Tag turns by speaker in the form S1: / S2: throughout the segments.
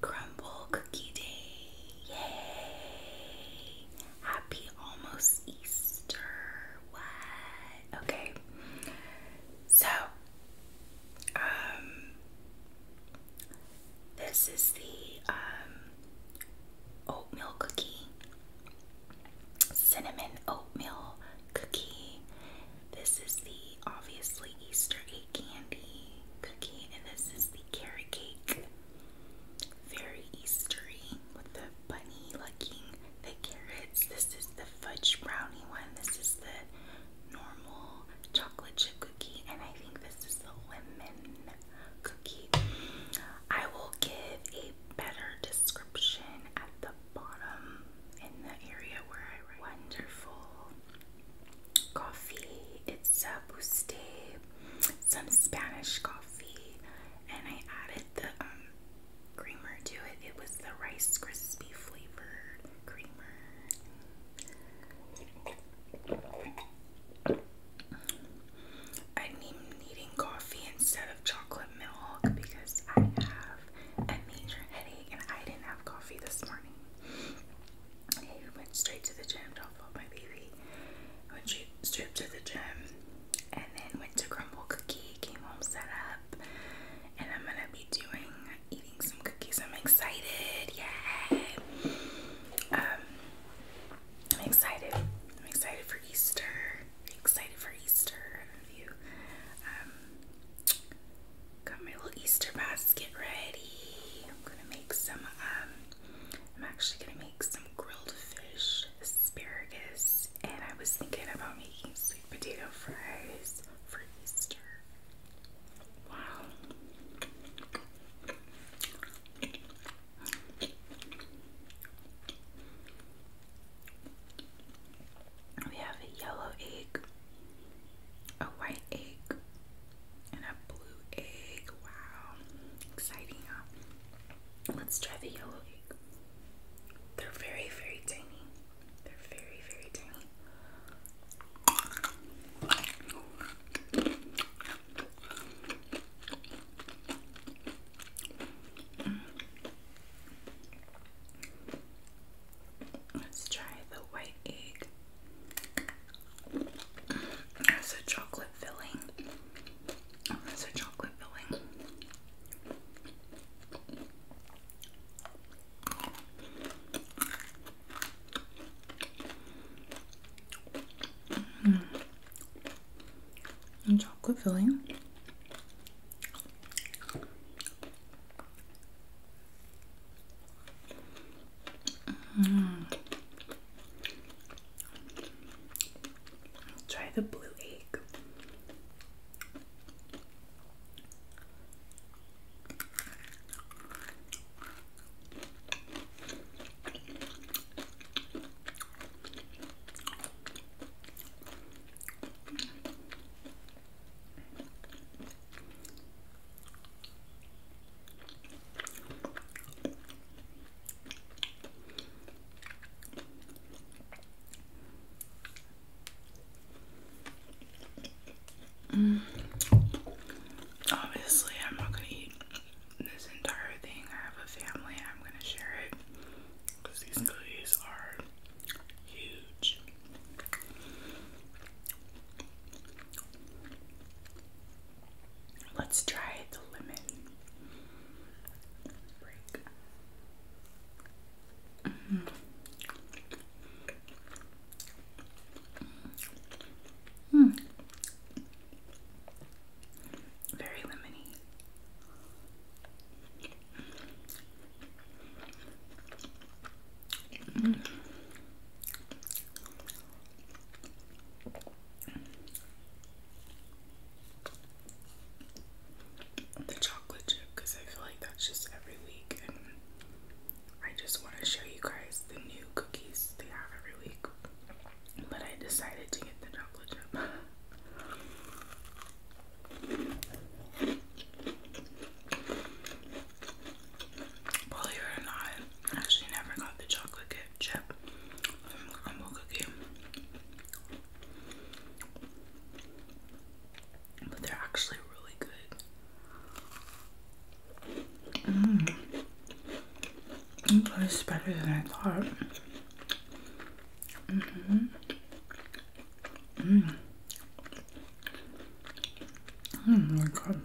S1: crumble cookie day. Yay! Happy almost Easter. What? Okay. So, um, this is the, um, oatmeal cookie, cinnamon oatmeal cookie. This is the obviously Easter candy cookie, and this is the carrot cake. Very Eastery with the bunny looking, the carrots. This is the fudge brownie one. This is the normal chocolate chip cookie, and I think this is the lemon cookie. I will give a better description at the bottom in the area where I write. Wonderful coffee. It's a buste, some Spanish coffee, and I added the um, creamer to it. It was the Rice Krispie flavored creamer. I'm needing coffee instead of chocolate milk because I have a major headache and I didn't have coffee this morning. He went straight to the gym. Don't my baby. Went straight to the gym, and then went to Crumble Cookie. Came home, set up, and I'm gonna be doing eating some cookies. I'm excited. Yeah. Um, I'm excited. I'm excited for Easter. Excited for Easter. I you um, Got my little Easter basket ready. I'm gonna make some, um, I'm actually gonna make some grilled fish, asparagus, and I was thinking about making sweet potato fries for Easter. Wow. We have a yellow egg, a white egg, and a blue egg. Wow, exciting! Let's try the yellow egg. They're very, very tiny. They're very, very tiny. Mm. Let's try the white egg. There's a chocolate filling. There's a chocolate filling. Mm. chocolate filling. Mm. Try the blue egg. Mm. Obviously, I'm not gonna eat this entire thing. I have a family, I'm gonna share it because these cookies are huge. Let's try the lemon -hmm. Very lemony. The chocolate chip, because I feel like that's just every week, and I just want to show you guys the new cookies they have every week. But I decided to get the chocolate chip. Believe it I actually never got the chocolate chip crumble cookie. But they're actually really good. Mmm. It better than I thought. Mm-hmm. Mmm. Oh my god.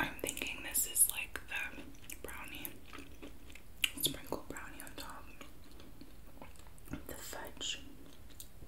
S1: I'm thinking this is like the brownie, sprinkle brownie on top, the fudge.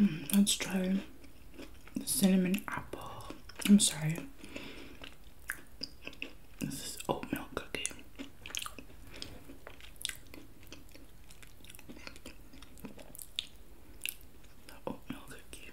S1: Mm, let's try the cinnamon apple. I'm sorry. This is oatmeal cookie. The oatmeal cookie.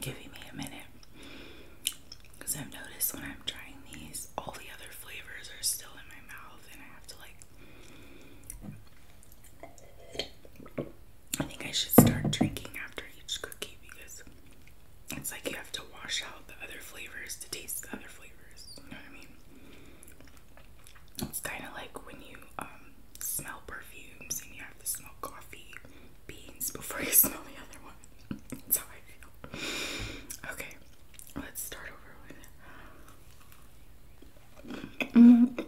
S1: Giving me a minute. Because I've noticed when I'm trying these, all the other flavors are still in my mouth, and I have to like. I think I should start drinking after each cookie because it's like you have to wash out the other flavors to taste the other flavors. You know what I mean? It's kind of like when you um, smell perfumes and you have to smell coffee beans before you smell the other one. That's how I feel. Okay, let's start over with -hmm.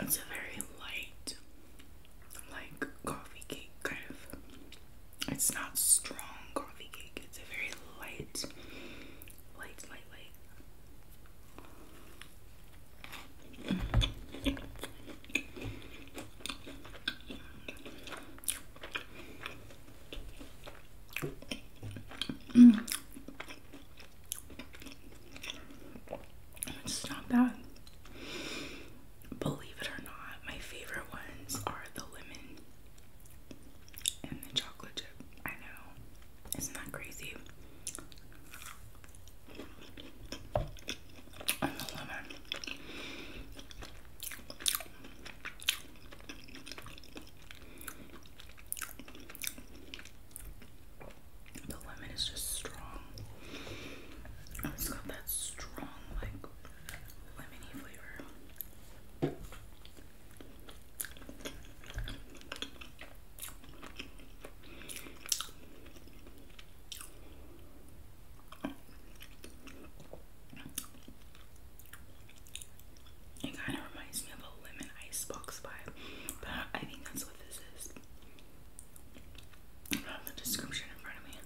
S1: It's a very light, like coffee cake kind of. It's not strong coffee cake. It's a very light, light, light, light. Mm. It's not bad. Believe it or not, my favorite ones are the lemon and the chocolate chip. I know. Isn't that crazy? And the lemon. The lemon is just strong. It's got that strong, like, lemony flavor. It kind of reminds me of a lemon icebox vibe, but I think that's what this is. I have the description in front of me.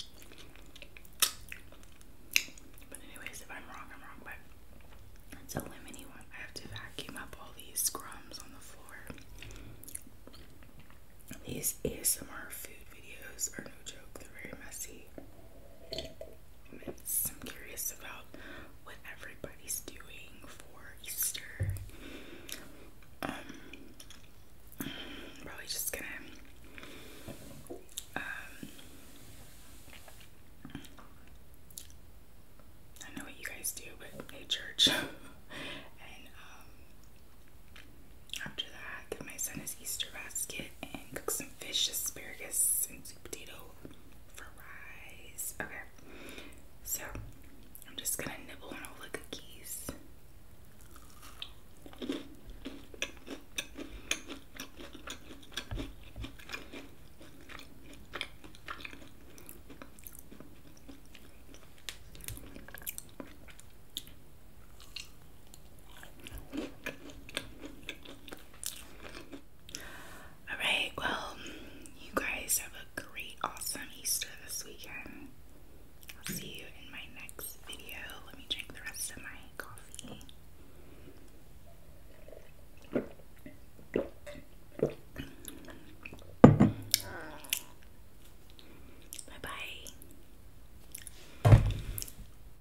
S1: But anyways, if I'm wrong, I'm wrong, but it's a lemony one. I have to vacuum up all these crumbs on the floor. These ASMR food videos are no joke, they're very messy. I'm curious about what everybody's doing for Easter. Um, probably just gonna um, I don't know what you guys do, but a church. and um, after that, give my son his Easter basket and cook some fish, asparagus, and sweet potato for rice. Okay, so I'm just gonna nibble on all the cookies. Alright, well, you guys have a great, awesome Easter this weekend. I'll see you in my next video. Let me drink the rest of my coffee. Bye bye.